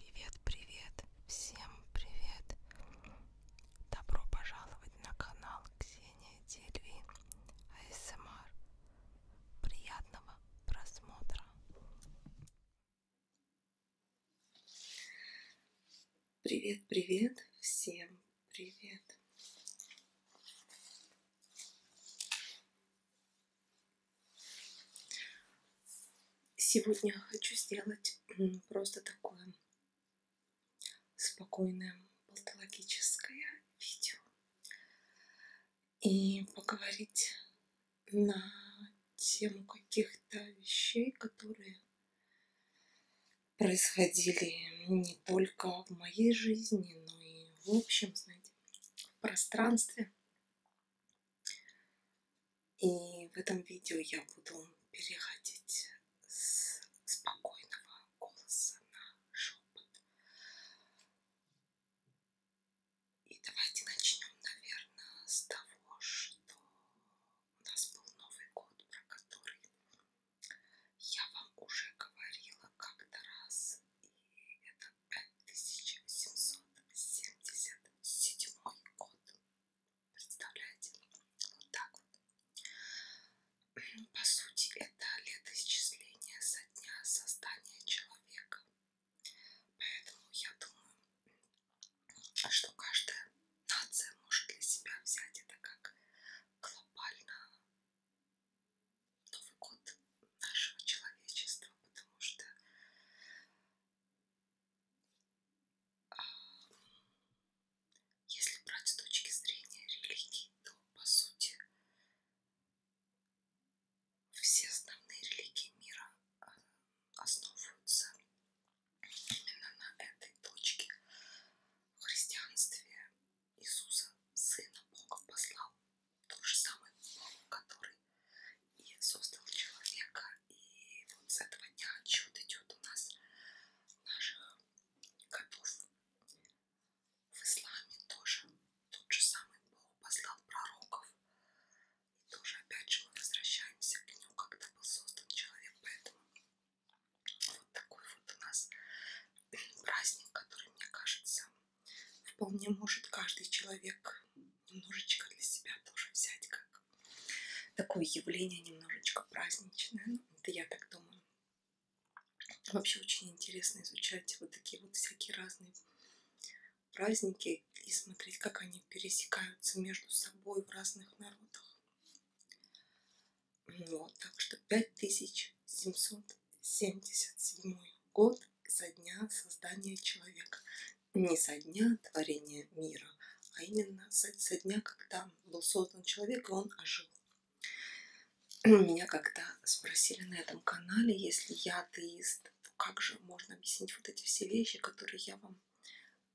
Привет, привет, всем привет! Добро пожаловать на канал Ксения Дельви АСМР. Приятного просмотра! Привет, привет, всем привет! Сегодня хочу сделать просто такое спокойное патологическое видео и поговорить на тему каких-то вещей, которые происходили не только в моей жизни, но и в общем, знаете, в пространстве. И в этом видео я буду переходить с спокойного голоса на шепот. И давайте начнем, наверное, с того, что у нас был Новый год, про который я вам уже говорила как-то раз. И это 1777 год. Представляете? Вот так вот. По сути, это летоисчисление со дня создания человека. Поэтому я думаю, что каждая нация может для себя взять это как глобально Новый год нашего человечества, потому что если брать с точки зрения религии, то по сути все основные религии мира а, основываются именно на этой точке. В христианстве Иисуса, Сына Бога, послал тот же самый Бог, который и создал человека. И вот с этого дня отчет идет у нас наших котов. В исламе тоже тот же самый Бог послал пророков. И тоже опять же мы возвращаемся к нему, когда был создан человек. Поэтому вот такой вот у нас праздник, который, мне кажется, вполне может каждый человек немножечко для себя тоже взять как такое явление немножечко праздничное. Ну, это я так думаю. Вообще очень интересно изучать вот такие вот всякие разные праздники и смотреть, как они пересекаются между собой в разных народах. Вот, так что 5777 год со дня создания человека не со дня творения мира, а именно со, со дня, когда был создан человек, и он ожил. Меня когда спросили на этом канале, если я атеист, то как же можно объяснить вот эти все вещи, которые я вам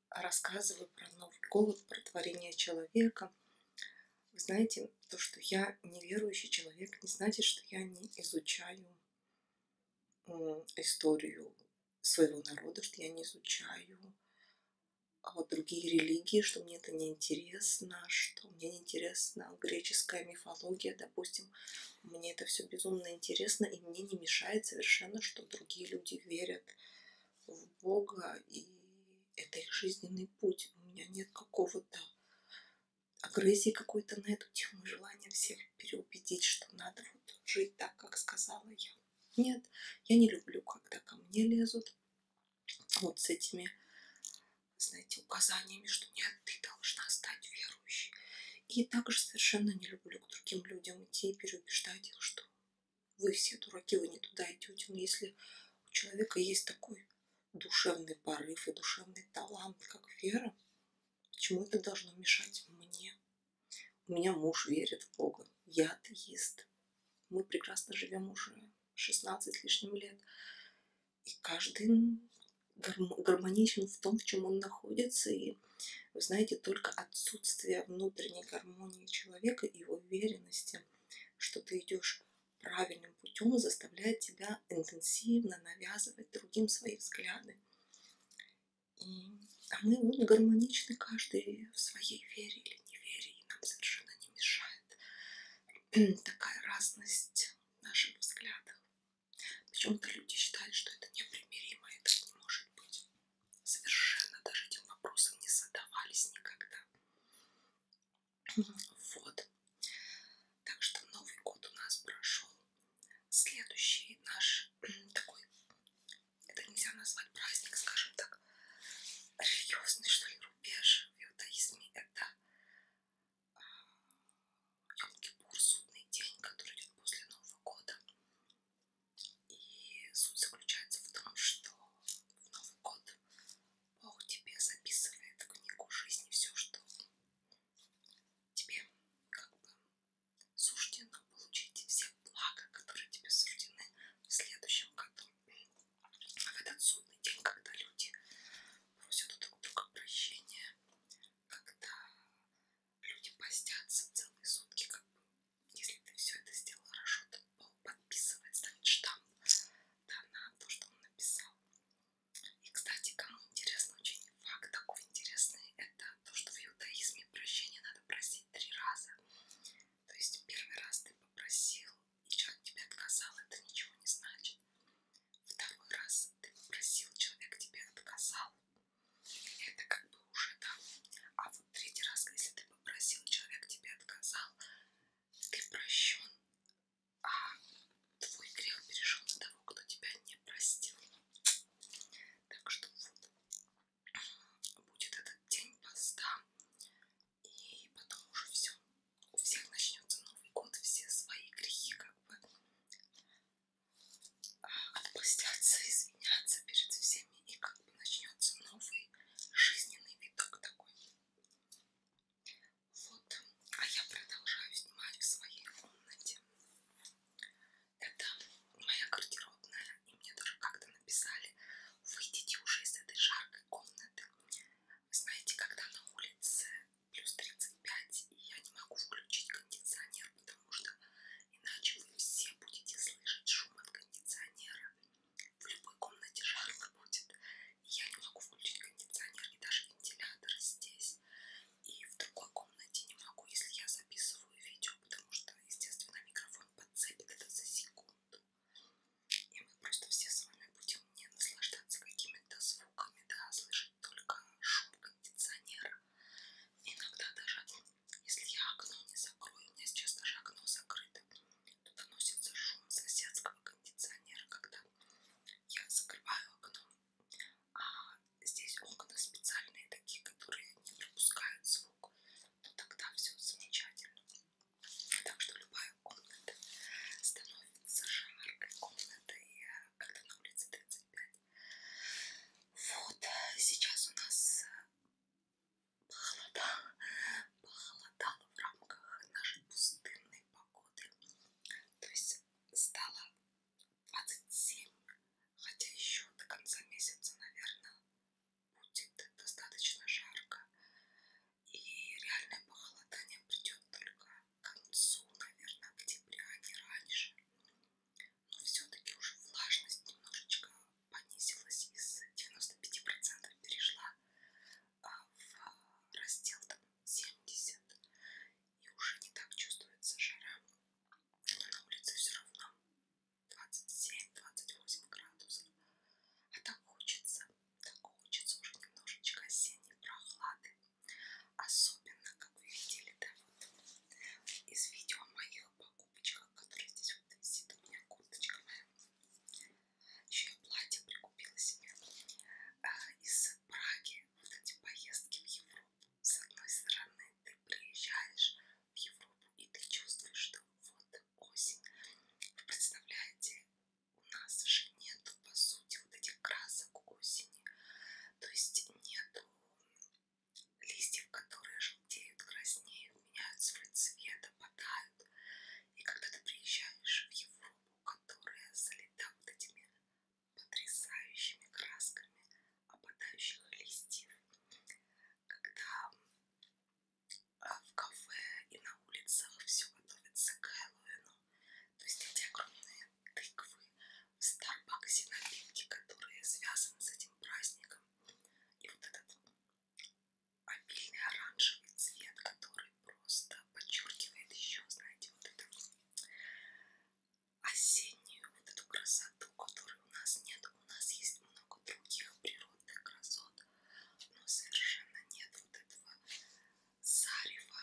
рассказываю про Новый голод, про творение человека. Вы знаете, то, что я неверующий человек, не значит, что я не изучаю историю своего народа, что я не изучаю а вот другие религии, что мне это не интересно, что мне не интересна греческая мифология, допустим, мне это все безумно интересно, и мне не мешает совершенно, что другие люди верят в Бога, и это их жизненный путь. У меня нет какого-то агрессии какой-то на эту тему, желания всех переубедить, что надо вот жить так, как сказала я. Нет, я не люблю, когда ко мне лезут вот с этими, знаете, указаниями, что нет, ты должна стать верующей. И также совершенно не люблю к другим людям идти и переубеждать их, что вы все дураки, вы не туда идете. Но если у человека есть такой душевный порыв и душевный талант, как вера, Почему это должно мешать мне? У меня муж верит в Бога. Я атеист. Мы прекрасно живем уже 16 лишним лет. И каждый гармоничен в том, в чем он находится. И вы знаете, только отсутствие внутренней гармонии человека и его уверенности, что ты идешь правильным путем, заставляет тебя интенсивно навязывать другим свои взгляды. И, а мы он, гармоничны каждый в своей вере или невере, и нам совершенно не мешает такая разность наших взглядов. Почему-то люди считают, что это непримиримо, это не может быть. Совершенно даже этим вопросом не задавались никогда. Вот. Так что Новый год у нас прошел Следующий наш такой, это нельзя назвать праздник, скажем так, религиозный, что ли, рубеж в иудаизме. Это а, Йом-Кипур, судный день, который идет после Нового года. И суть заключается в том, что в Новый год Бог тебе записывает в книгу жизни все, что тебе как бы суждено получить все блага, которые тебе суждены в следующем году. А в этот судный день, когда люди просят у друг друга прощения, когда люди постятся целые сутки, как бы, если ты все это сделал хорошо, то Бог подписывает, ставит штамп да, на то, что он написал. И, кстати, кому интересно, очень факт такой интересный, это то, что в иудаизме прощения надо просить три раза. То есть первый раз ты попросил, и человек тебе отказал, это ничего не значит. Второй раз ты попросил, человек тебе отказал, это как бы уже да. А вот третий раз, если ты попросил, человек тебе отказал, ты прощен, а твой грех перешел на того, кто тебя не простил. Так что вот, будет этот день поста, и потом уже все. У всех начнется Новый год, все свои грехи как бы а, отпустятся, извинятся перед всеми, и как бы начнется новый жизненный виток такой. Вот, а я продолжаю снимать в своей комнате. Это моя гардеробная, и мне тоже как-то написали, выйдите уже из этой жаркой комнаты. Вы знаете, когда на улице плюс 35, и я не могу включить кондиционер, потому что иначе вы все будете слышать шум от кондиционера. В любой комнате жарко будет. И я не могу включить кондиционер и даже вентилятор здесь и в другой комнате не могу, если я записываю видео, потому что, естественно, микрофон подцепит это за секунду. И мы просто все с вами будем не наслаждаться какими-то звуками, да, а слышать только шум кондиционера. Иногда даже, если я окно не закрою, у меня сейчас даже окно закрыто, то доносится шум соседского кондиционера, когда я закрываю окно а здесь окна специальные такие, которые не пропускают звук. Но ну, тогда все замечательно. Так что любая комната становится жаркой комнатой, э, когда на улице 35. Вот, сейчас у нас э, похолодало, похолодало в рамках нашей пустынной погоды. То есть стало 27, хотя еще до конца месяца, наверное, будет достаточно жарко. И реальное похолодание придет только к концу, наверное, октября, а не раньше. Но все-таки уже влажность немножечко понизилась из 95% перешла а, в раздел там, 70 и уже не так чувствуется жара на улице все равно 27-28 градусов. А так хочется, так хочется уже немножечко осенней прохлады. Особенно, как вы видели, да, вот из видео о моих покупочках, которые здесь вот висит, у меня курточка моя. Еще я платье прикупила себе а, из Праги, вот эти поездки в Европу. С одной стороны, ты приезжаешь в Европу и ты чувствуешь, что вот осень. Вы представляете, у нас же нету, по сути, вот этих красок осени. То есть нету листьев, которые желтеют, краснеют, меняют свой цвет, опадают. И когда ты приезжаешь в Европу, которая залита вот этими потрясающими красками опадающих листьев. Когда а, в кафе и на улицах все готовится к Хэллоуину, то есть эти огромные тыквы в Старбаксе напитки, которые связаны с этим праздником. И вот этот обильный оранжевый цвет, который просто подчеркивает еще, знаете, вот это осеннюю вот эту красоту, которой у нас нет. У нас есть много других природных красот, но совершенно нет вот этого зарева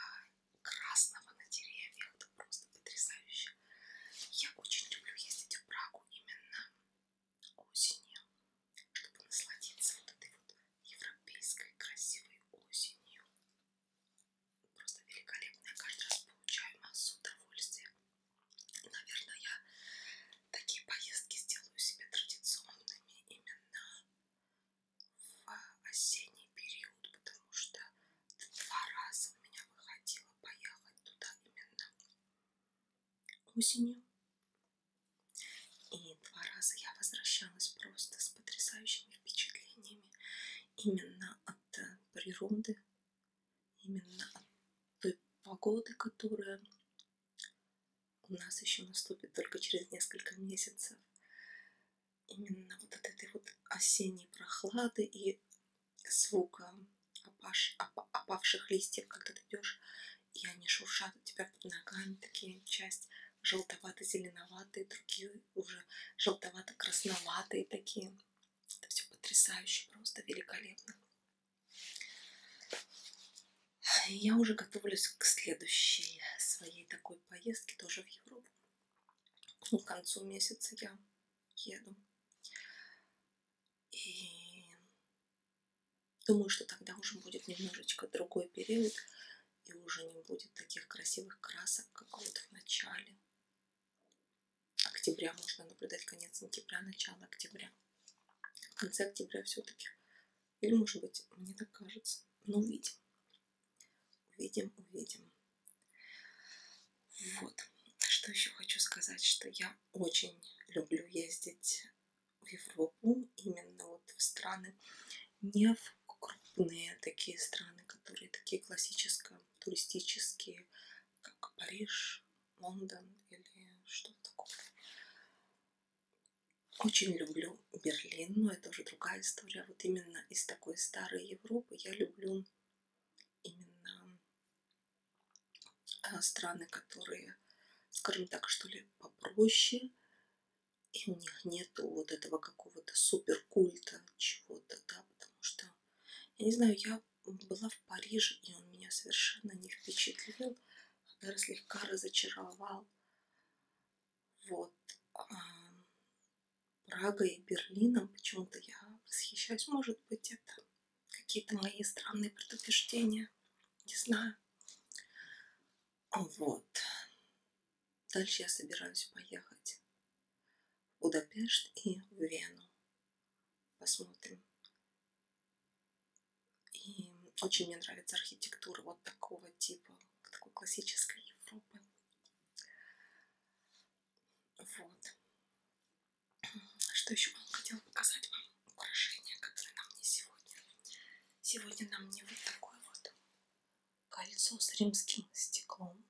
красного на деревьях. Это просто потрясающе. Я очень люблю ездить в Прагу именно осенью, чтобы насладиться вот этой вот европейской красивой осенью. Просто великолепно. Я каждый раз получаю массу удовольствия. Наверное, я такие поездки сделаю себе традиционными именно в осенний период, потому что два раза у меня выходило поехать туда именно осенью. И два раза я возвращалась просто с потрясающими впечатлениями именно от природы, именно от той погоды, которая у нас еще наступит только через несколько месяцев. Именно вот от этой вот осенней прохлады и звука опаш, оп, опавших листьев, когда ты идешь, и они шуршат у тебя под ногами, такие часть желтовато-зеленоватые, другие уже желтовато-красноватые такие. Это все потрясающе, просто великолепно. Я уже готовлюсь к следующей своей такой поездке, тоже в Европу. Ну, к концу месяца я еду. И думаю, что тогда уже будет немножечко другой период. И уже не будет таких красивых красок, как вот в начале октября можно наблюдать конец сентября, начало октября. В конце октября все-таки. Или, может быть, мне так кажется. Но увидим. Увидим, увидим. Вот. Что еще хочу сказать, что я очень люблю ездить в Европу, именно вот в страны, не в крупные такие страны, которые такие классические, туристические, как Париж, Лондон или что-то такое. Очень люблю Берлин, но это уже другая история. Вот именно из такой старой Европы я люблю именно а, страны, которые, скажем так, что ли, попроще. И у них нету вот этого какого-то суперкульта чего-то, да, потому что, я не знаю, я была в Париже, и он меня совершенно не впечатлил, а даже слегка разочаровал. Вот. Прагой и Берлином а почему-то я восхищаюсь. Может быть, это какие-то мои странные предубеждения. Не знаю. Вот. Дальше я собираюсь поехать в Будапешт и в Вену. Посмотрим. И очень мне нравится архитектура вот такого типа, такой классической Европы. Вот. Что еще вам хотела показать вам украшение, которое нам не сегодня. Сегодня нам не вот такое вот кольцо с римским стеклом.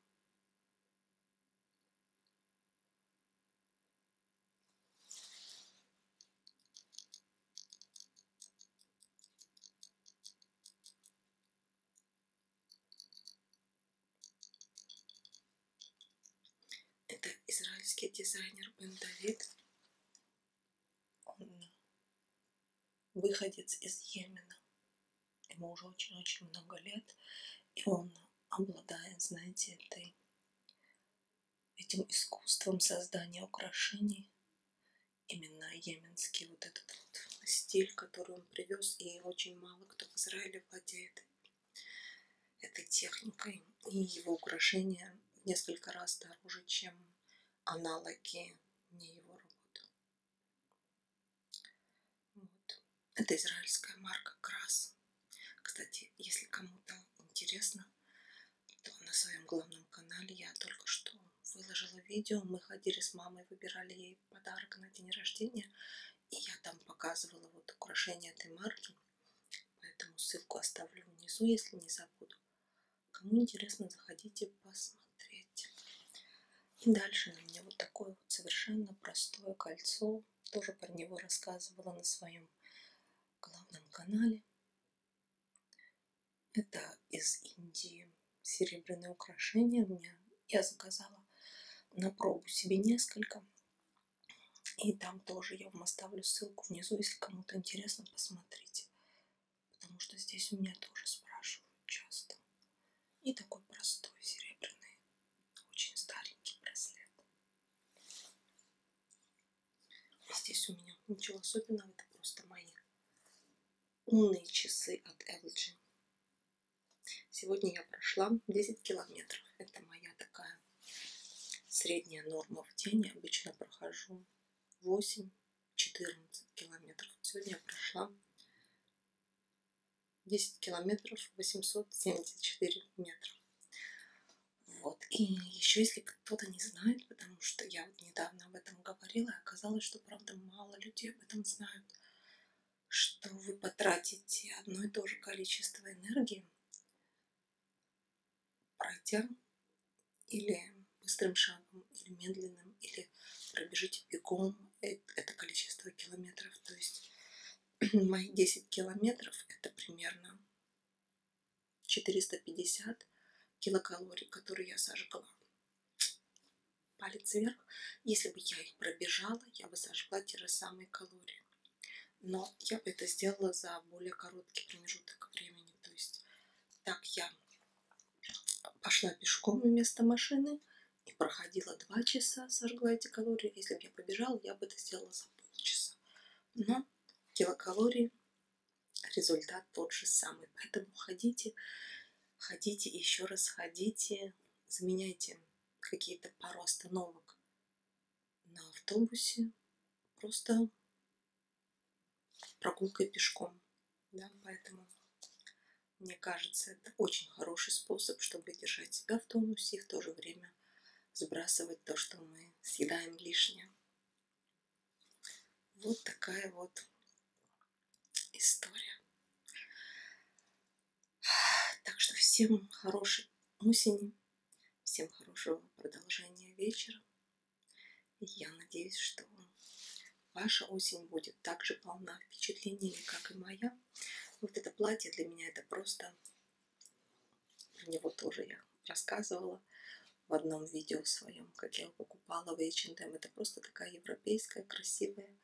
Это израильский дизайнер Бен Давид. Он выходец из Йемена ему уже очень-очень много лет, и он обладает, знаете, этой, этим искусством создания украшений, именно йеменский вот этот вот стиль, который он привез, и очень мало кто в Израиле владеет этой техникой, и его украшения в несколько раз дороже, чем аналоги не его работы. Вот. Это израильская марка Крас. Кстати, если кому-то интересно, то на своем главном канале я только что выложила видео. Мы ходили с мамой, выбирали ей подарок на день рождения. И я там показывала вот украшение этой марки. Поэтому ссылку оставлю внизу, если не забуду. Кому интересно, заходите посмотреть. И дальше у меня вот такое вот совершенно простое кольцо тоже про него рассказывала на своем главном канале. Это из Индии серебряные украшения. Меня, я заказала на пробу себе несколько. И там тоже я вам оставлю ссылку внизу, если кому-то интересно, посмотрите. Потому что здесь у меня тоже спрашивают часто. И такой простой серебряный очень старенький браслет. Здесь у меня ничего особенного, это просто мои умные часы от LG. Сегодня я прошла 10 километров. Это моя такая средняя норма в день. Я обычно прохожу 8-14 километров. Сегодня я прошла 10 километров 874 метра. Вот. И еще, если кто-то не знает, потому что я вот недавно об этом говорила, оказалось, что, правда, мало людей об этом знают, что вы потратите одно и то же количество энергии, пройдя или быстрым шагом, или медленным, или пробежите бегом э, это количество километров. То есть мои 10 километров это примерно 450 килокалорий, которые я сожгла. Палец вверх. Если бы я их пробежала, я бы сожгла те же самые калории. Но я бы это сделала за более короткий промежуток времени. То есть так я пошла пешком вместо машины – и проходило два часа, сожгла эти калории. Если бы я побежала, я бы это сделала за полчаса. Но килокалории, результат тот же самый. Поэтому ходите, ходите, еще раз ходите, заменяйте какие-то пару остановок на автобусе, просто прогулкой пешком. Да, поэтому мне кажется, это это очень хороший способ, чтобы держать себя в тонусе и в то же время сбрасывать то, что мы съедаем лишнее. Вот такая вот история. Так что всем хорошей осени, всем хорошего продолжения вечера. Я надеюсь, что ваша осень будет так же полна впечатлениями, как и моя. Вот это платье для меня это просто... Про него тоже я рассказывала в одном видео своем, как я его покупала в H&M. Это просто такая европейская, красивая,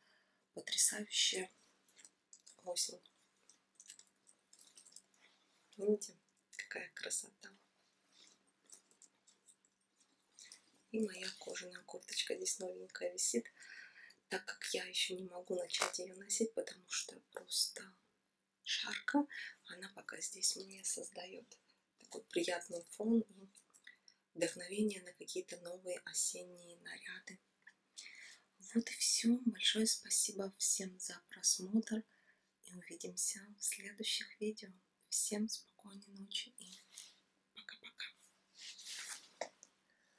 потрясающая осень. Видите, какая красота. И моя кожаная курточка здесь новенькая висит так как я еще не могу начать ее носить, потому что просто шарка, она пока здесь мне создает такой приятный фон и вдохновение на какие-то новые осенние наряды. Вот и все. Большое спасибо всем за просмотр. И увидимся в следующих видео. Всем спокойной ночи и пока-пока.